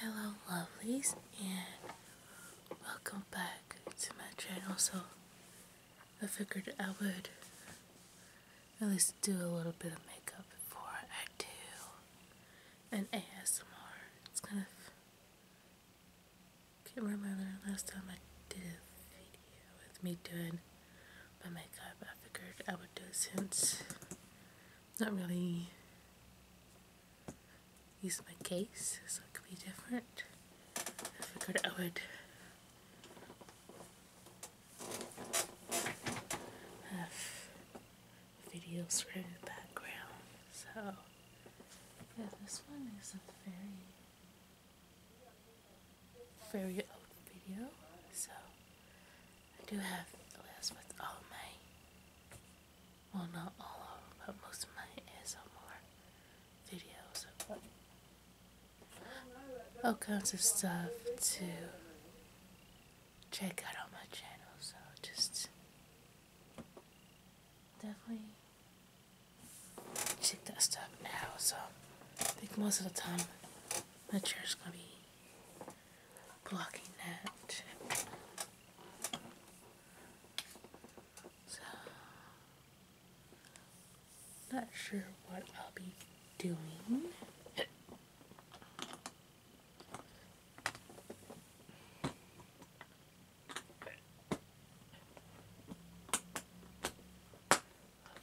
Hello lovelies and welcome back to my channel. So I figured I would at least do a little bit of makeup before I do an ASMR. It's kind of can't remember the last time I did a video with me doing my makeup. I figured I would do it since not really use my case, so it could be different. I figured I would have video screen in the background. So, yeah, this one is a very, very old video, so I do have a list with all my, well not all of them, but most of my ASMR videos of what, all kinds of stuff to check out on my channel, so just definitely check that stuff out. So I think most of the time my chair is gonna be blocking that. So, not sure what I'll be doing.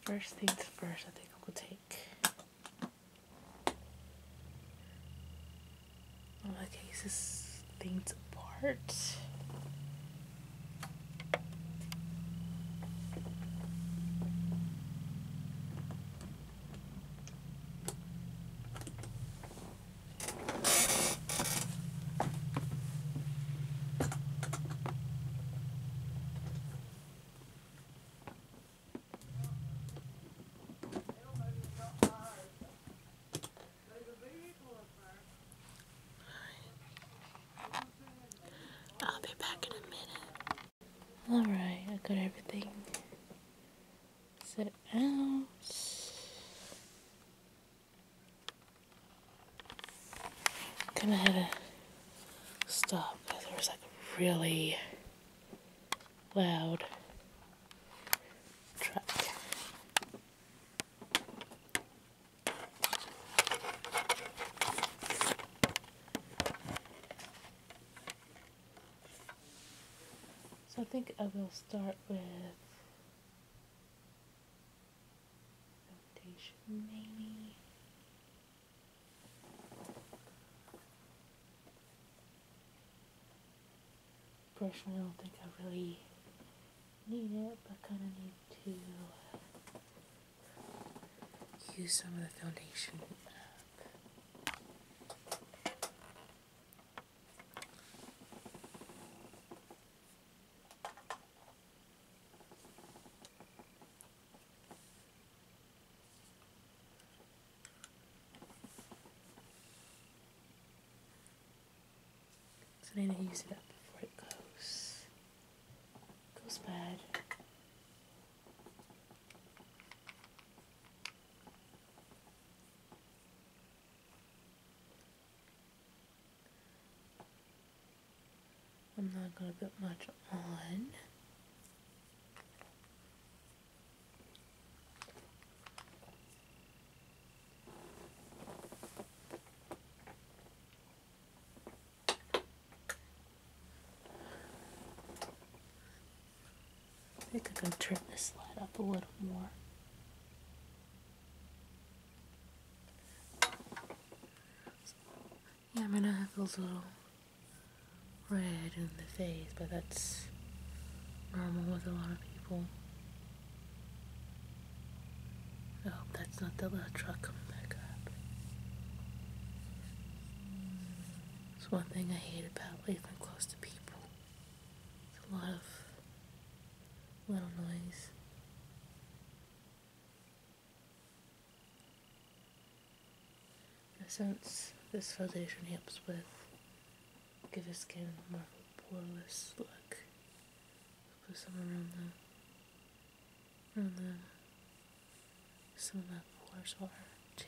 First things first, I think I'll take I'm going this things apart. I'll be back in a minute. Alright, I got everything set out. Kinda had to stop because it was like really loud truck. So I think I will start with foundation maybe personally I don't think I really need it, but kind of need to uh, use some of the foundation so then I use it up before it goes goes bad. I'm not gonna put much on. I think I can this light up a little more. Yeah, I'm gonna have those little red in the face, but that's normal with a lot of people. Oh, that's not the little truck coming back up. It's one thing I hate about living close to people. It's a lot of little noise. Since this foundation helps with give your skin more of poreless look. Put some around the around the some of the pores are too.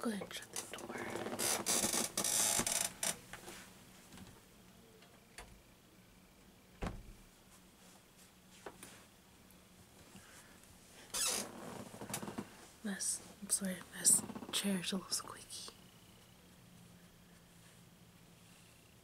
Go ahead and shut the door. This, I'm sorry, this chair's a little squeaky.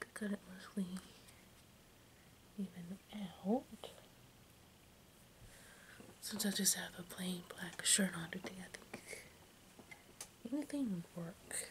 I cut it mostly even out. Since I just have a plain black shirt on today, I think anything would work.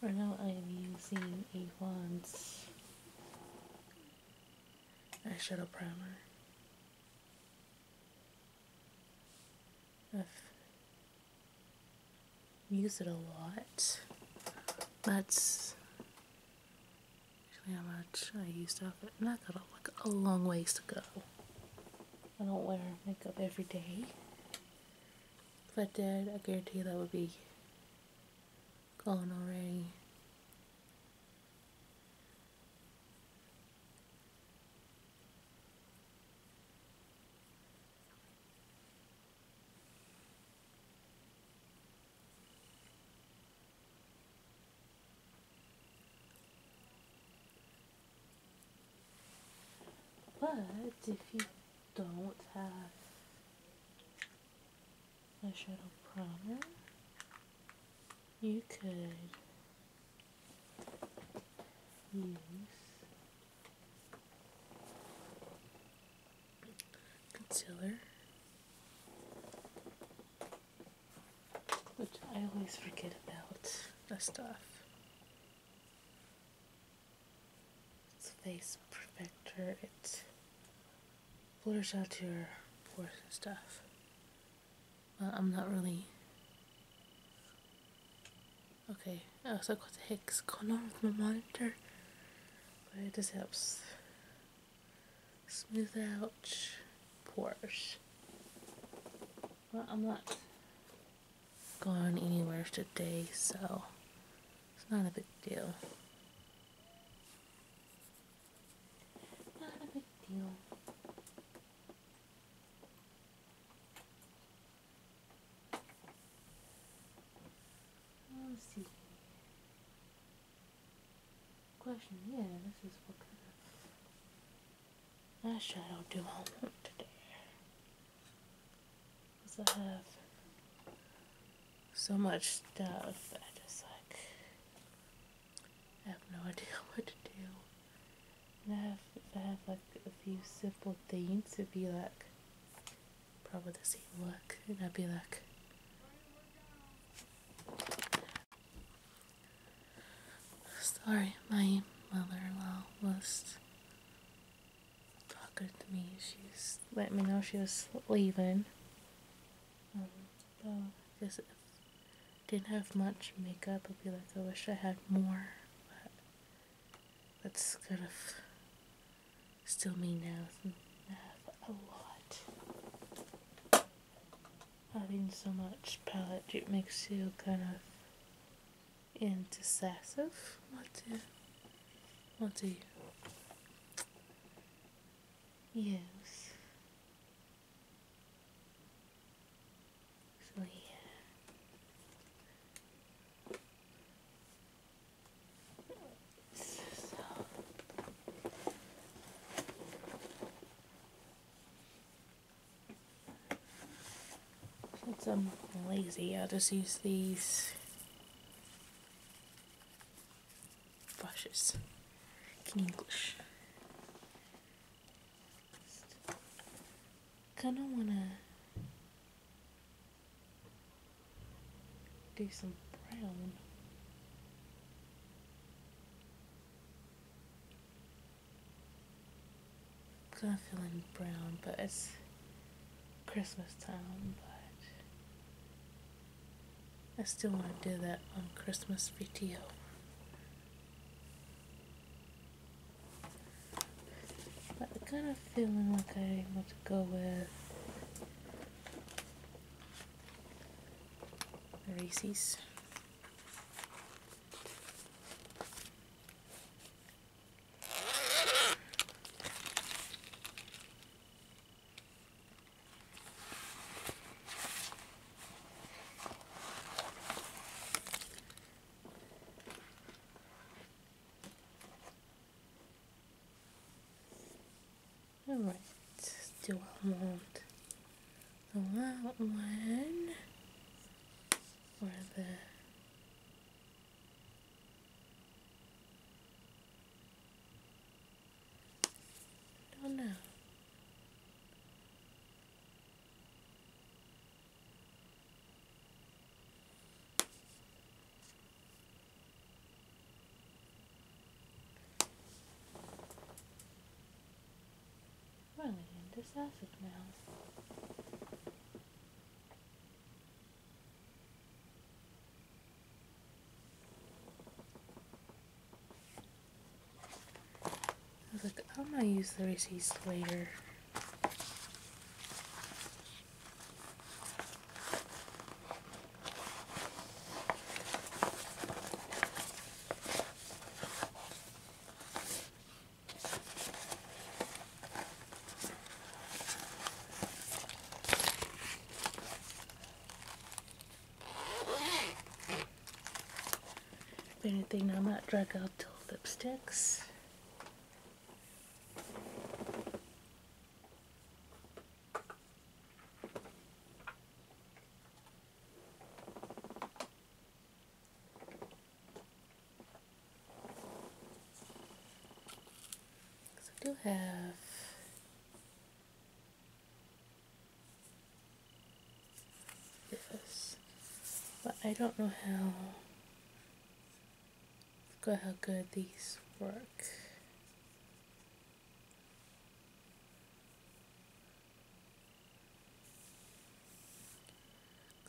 For now I am using a Avon's eyeshadow primer. I've used it a lot. That's Actually, how much I used up. And I got like a long ways to go. I don't wear makeup every day. but I I guarantee that would be gone already. But if you don't have a shadow primer, you could use concealer, which I always forget about That stuff. It's face perfector. It blurs out your pores and stuff. I'm not really. Okay, I also got the heck's going on with my monitor, but it just helps smooth out Porsche. Well, I'm not going anywhere today, so it's not a big deal. Not a big deal. Let's see question. Yeah, this is what kind of i should do I today? Because I have so much stuff, I just like I have no idea what to do. And I have, I have like a few simple things, to be like probably the same look, and I'd be like, Sorry, my mother-in-law was talking to me. She's letting me know she was leaving. Um, though, I guess I didn't have much makeup, I'd be like, I wish I had more. But that's kind of still me now. a lot having so much palette, it makes you kind of indecisive. What do, you? what do you? Yes. So yeah. So since I'm lazy, I'll just use these brushes in English. Kinda wanna do some brown kind of feeling brown, but it's Christmas time, but I still want to do that on Christmas video. But I'm kind of feeling like I want to go with Reese's. Alright, do I want the loud one or the don't know. We're going into sausage now. I am gonna use the receipts later. If anything, i might drag out till lipsticks. So I do have this, but I don't know how. Forgot how good these work.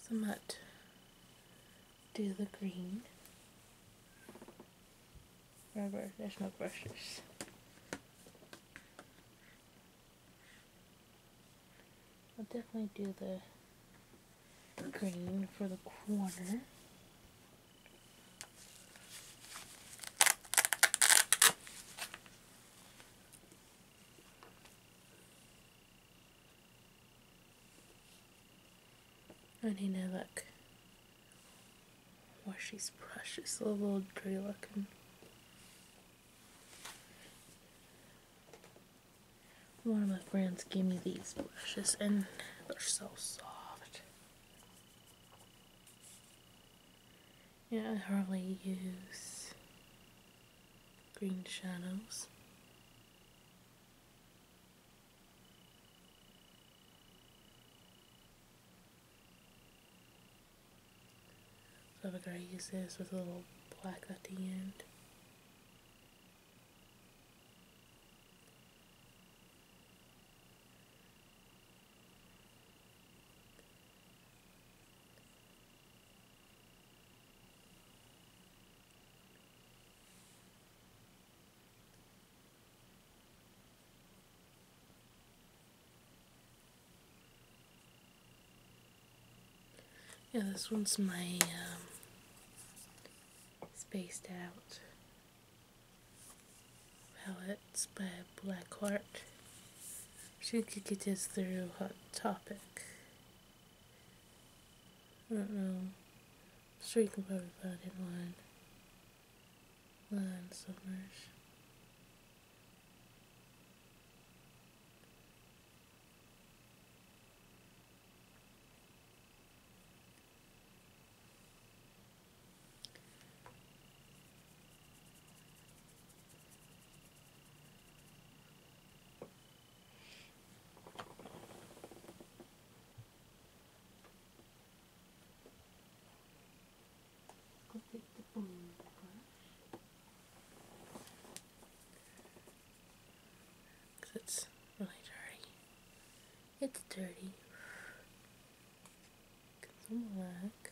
Because I do the green. Rubber, there's no brushes. I'll definitely do the green for the corner. I need now look. Why she's precious little old tree looking. One of my friends gave me these brushes and they're so soft. Yeah, I hardly use green shadows. So I figure I use this with a little black at the end. Yeah, this one's my um, spaced out Palettes by Blackheart. Shinkiki is through Hot Topic. I don't know. I'm sure you can probably find it online. Line Summers. Cause it's really dirty. It's dirty. Get some black.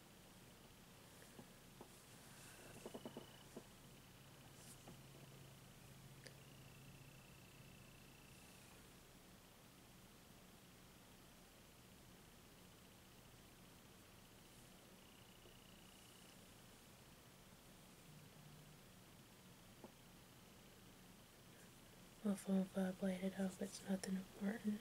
I'll phone flashlight it up, it's nothing important.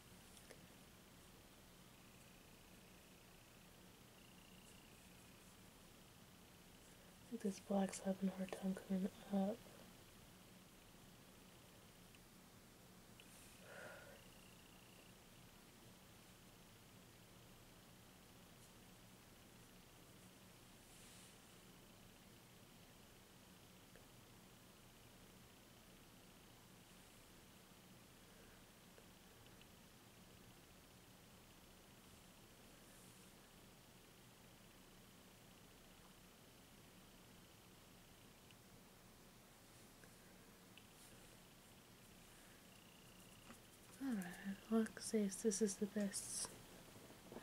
This black's having a hard time coming up. Alright, Look, says this is the best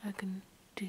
I can do.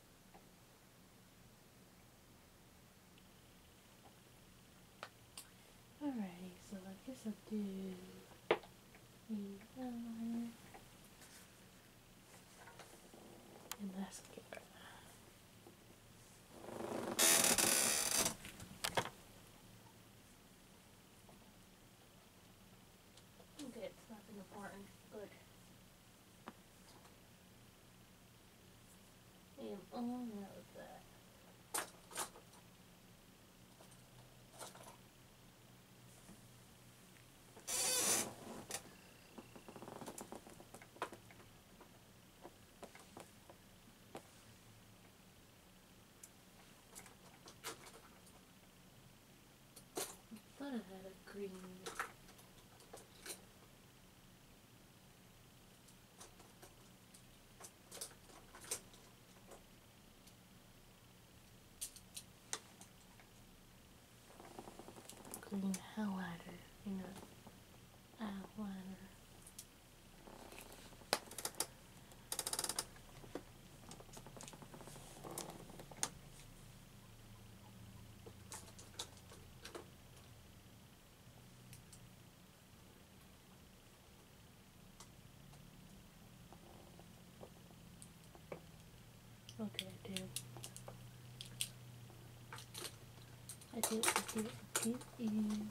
Alrighty, so I guess I'll do and mascara. Okay, it's nothing important. Good. I am all out that. I thought I had a green. Green highlighter, you know, eyeliner. What did I do? I did, I did, I did, and...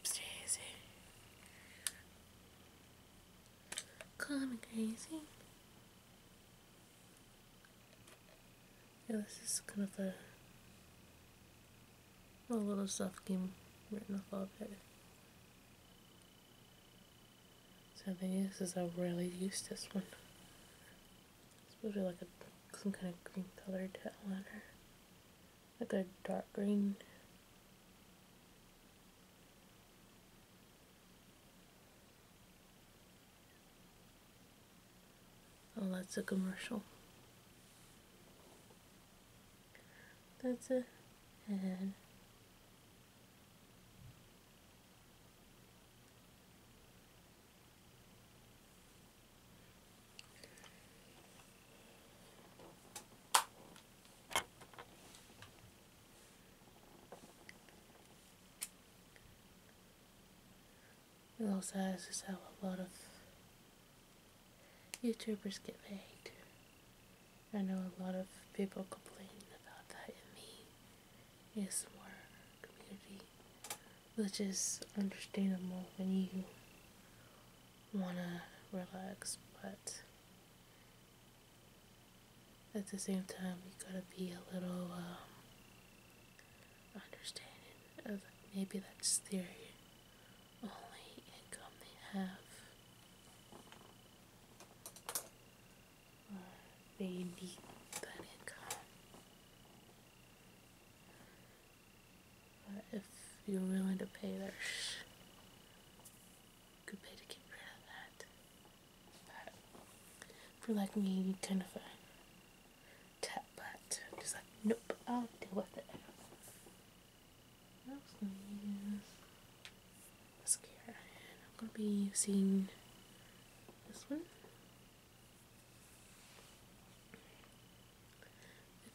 Upstairs. Eh? Call me crazy. Yeah, this is kind of a a little stuff came written off of it. Something the is, a really useless use this one. It's usually like a, some kind of green colored eyeliner. Like a dark green. Oh, that's a commercial. That's It also have a lot of YouTubers get paid. I know a lot of people complain about that in the ASMR community, which is understandable when you wanna relax, but at the same time, you gotta be a little um, understanding of maybe that's theory only income they have they need that income. But if you're willing to pay their sh good pay to get rid of that. But for like me you kind of a tap butt. Just like nope, I'll deal with it. What else can I use? Mascara. I'm going to be using this one.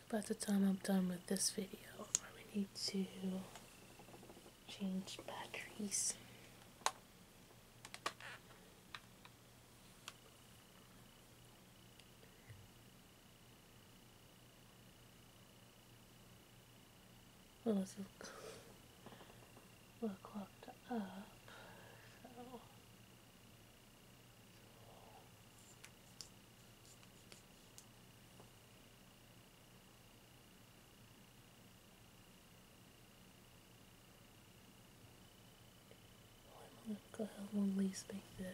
About the time I'm done with this video, I need to change batteries. Well, this well clocked up, so. Well, I'm gonna go ahead and at least make the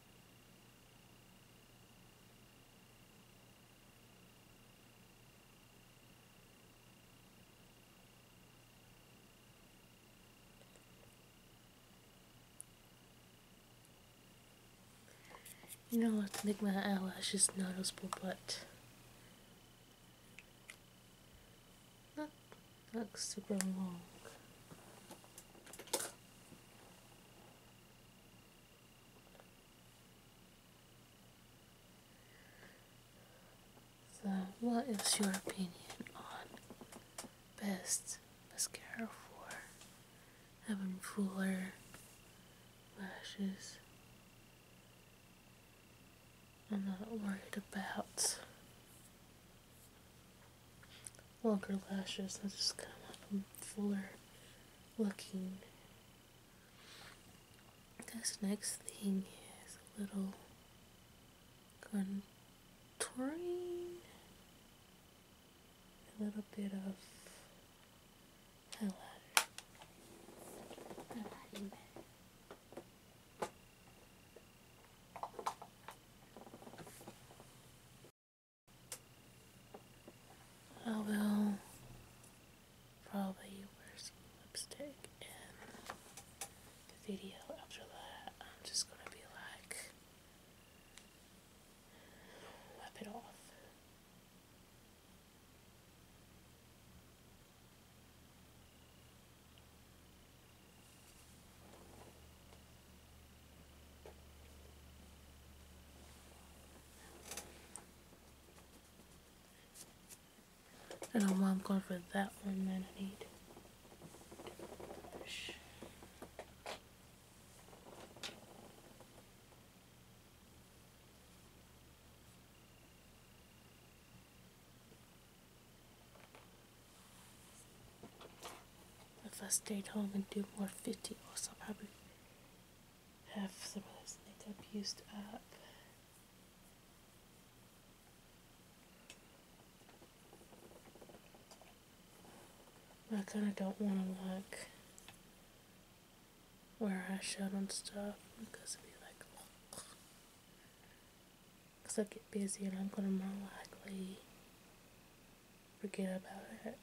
You know, I to make my eyelashes noticeable, but not look super long. So, what is your opinion on best mascara for having fuller lashes? I'm not worried about longer lashes. I just kind of want them fuller looking. This next thing is a little contouring, a little bit of highlighter. I will probably wear lipstick in the video. After that, I'm just gonna be like, wipe it off. I know why I'm going for that one that I need. If I stayed home and do more fifty or something, have some of this makeup used up. I kind of don't want to look where I showed on stuff because it'd be like, I get busy and I'm going to more likely forget about it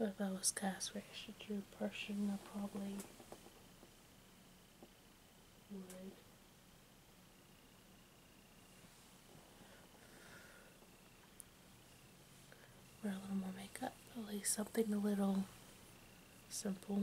if I was cast for extra person, I probably Wear a little more makeup, at least something a little simple.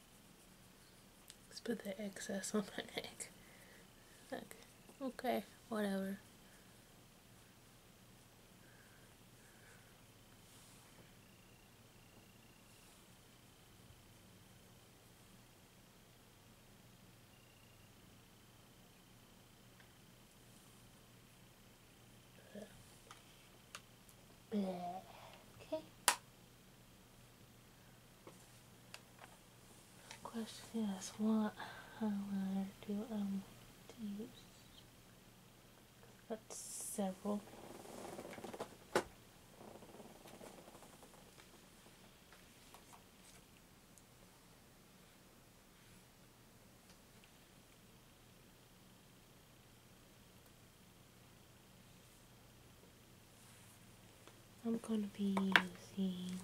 Let's put the excess on my neck. Okay, okay whatever. Okay. Question is what highlighter do I um, to use? That's several. I'm going to be using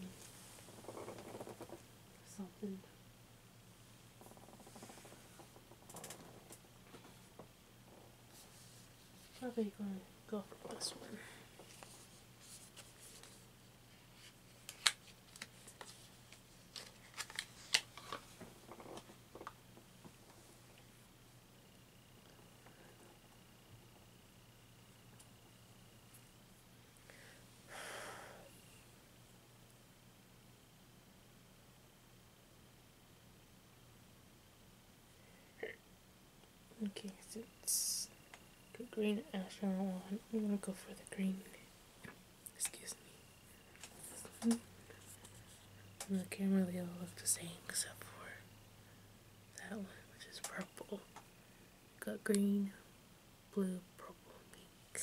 something probably going to go for this one. Okay, so it's green astronaut one. I'm gonna go for the green. Excuse me. Mm-hmm. And the camera, they all look the same except for that one, which is purple. Got green, blue, purple, pink.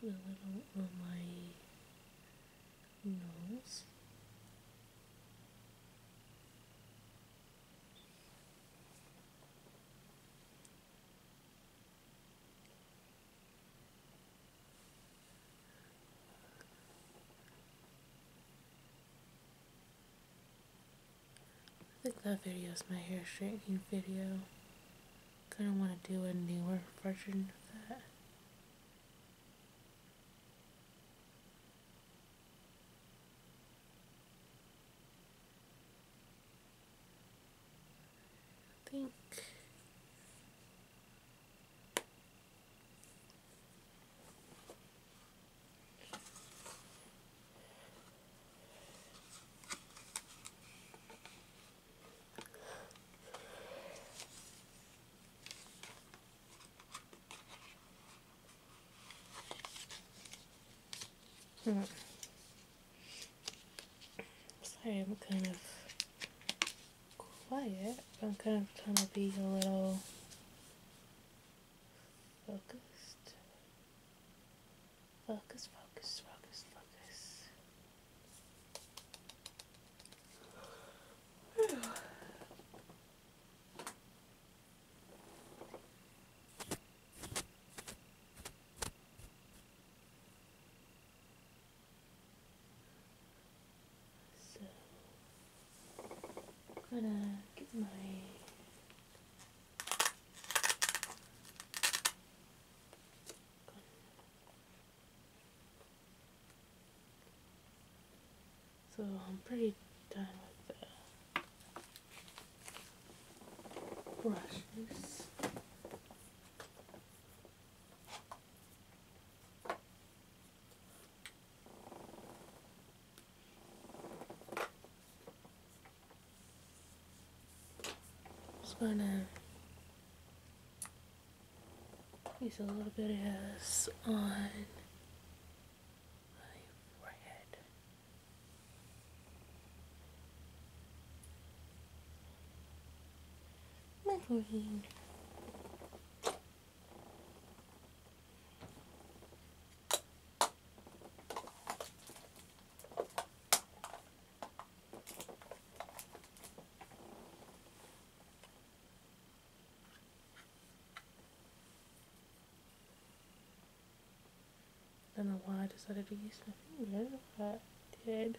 Put a little on my nose. I think that video is my hair straightening video. Gonna want to do a newer version of that. think Hmm. Sorry, I'm kind of quiet. I'm kind of trying to be a little focused. Focus, focus, focus, focus. so, gonna get my so I'm pretty done with the brushes just gonna use a little bit of this on my forehead. My forehead. I don't know why I decided to use my finger, I did.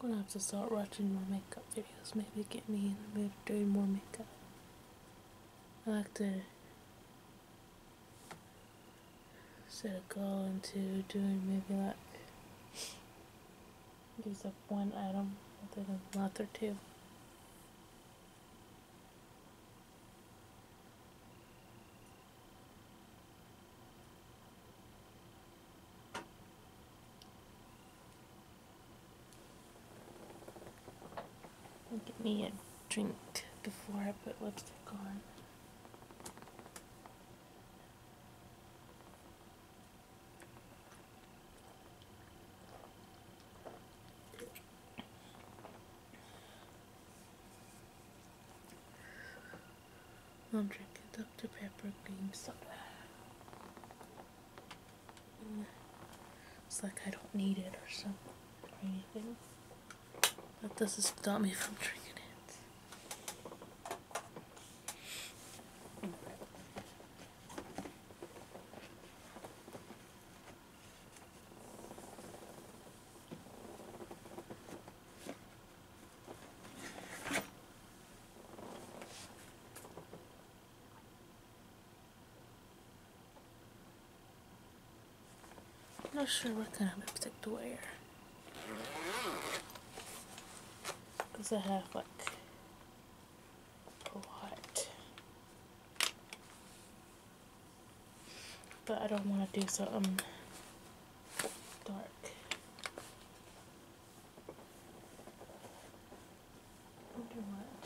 I'm gonna have to start watching more makeup videos, maybe get me in the mood doing more makeup. I like to set a goal into doing maybe like use up one item within a month or two. Get me a drink before I put lipstick on. I'm drinking Dr. Pepper cream soda. It's like I don't need it or something or anything. That doesn't stop me from drinking it not sure what kind of lipstick to wear. Because I have like a lot but I don't want to do something dark. Wonder what.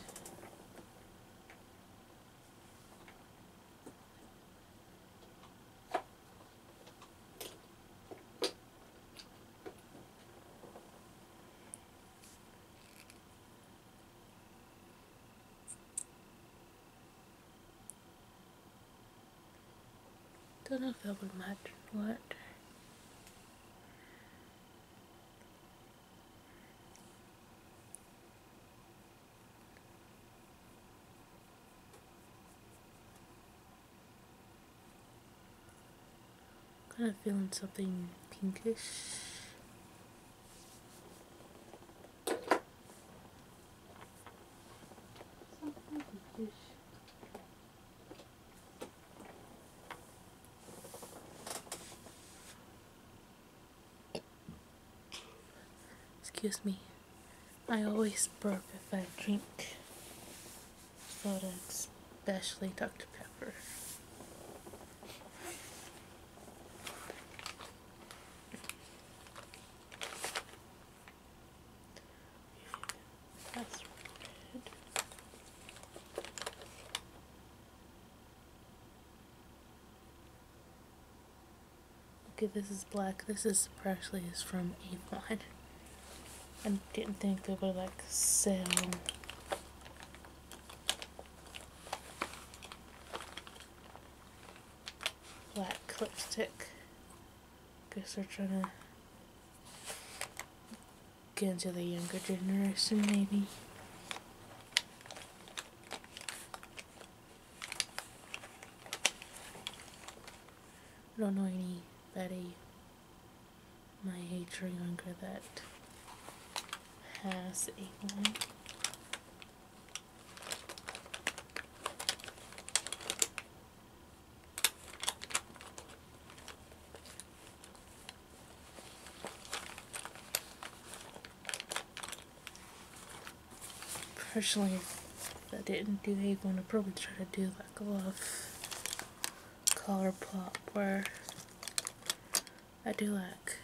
Doesn't feel good much. What? Kind of feeling something pinkish. Excuse me. I always burp if I drink soda, especially Dr. Pepper. That's red. Okay, this is black. This is actually is from Avon. I didn't think they would like sell black lipstick. Guess they're trying to get into the younger generation, maybe. I don't know anybody my age or younger that has a one. Personally, if I didn't do a one, I'd probably try to do like a lot of color pop where I do like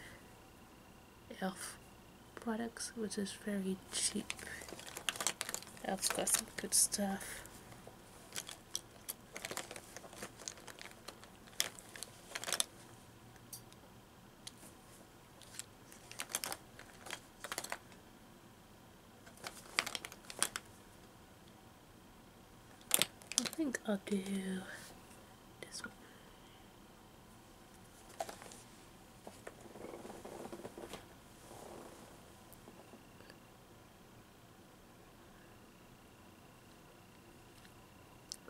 e.l.f. products, which is very cheap. e.l.f.'s got some good stuff. I think I'll do this one.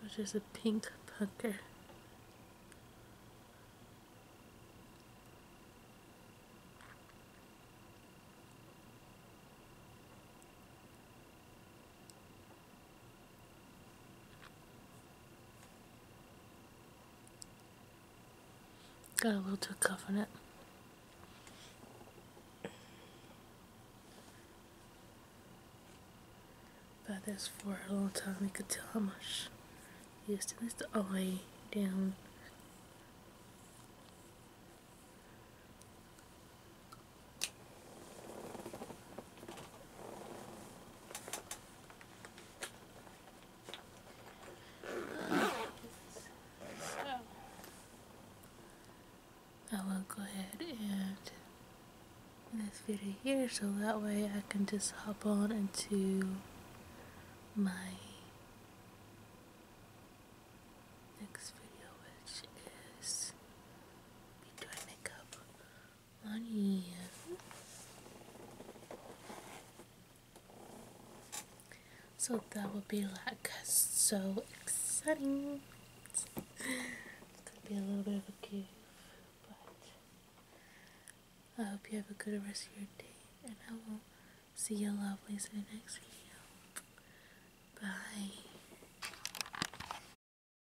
Which is a pink pucker. Got a little too cuff on it. About this for a long time, you could tell how much used to this all the down. I will go ahead and this video here so that way I can just hop on into my next video which is me doing makeup on So that will be like so exciting. It's gonna be a little bit of a give, but I hope you have a good rest of your day, and I will see you lovely in the next video. Bye.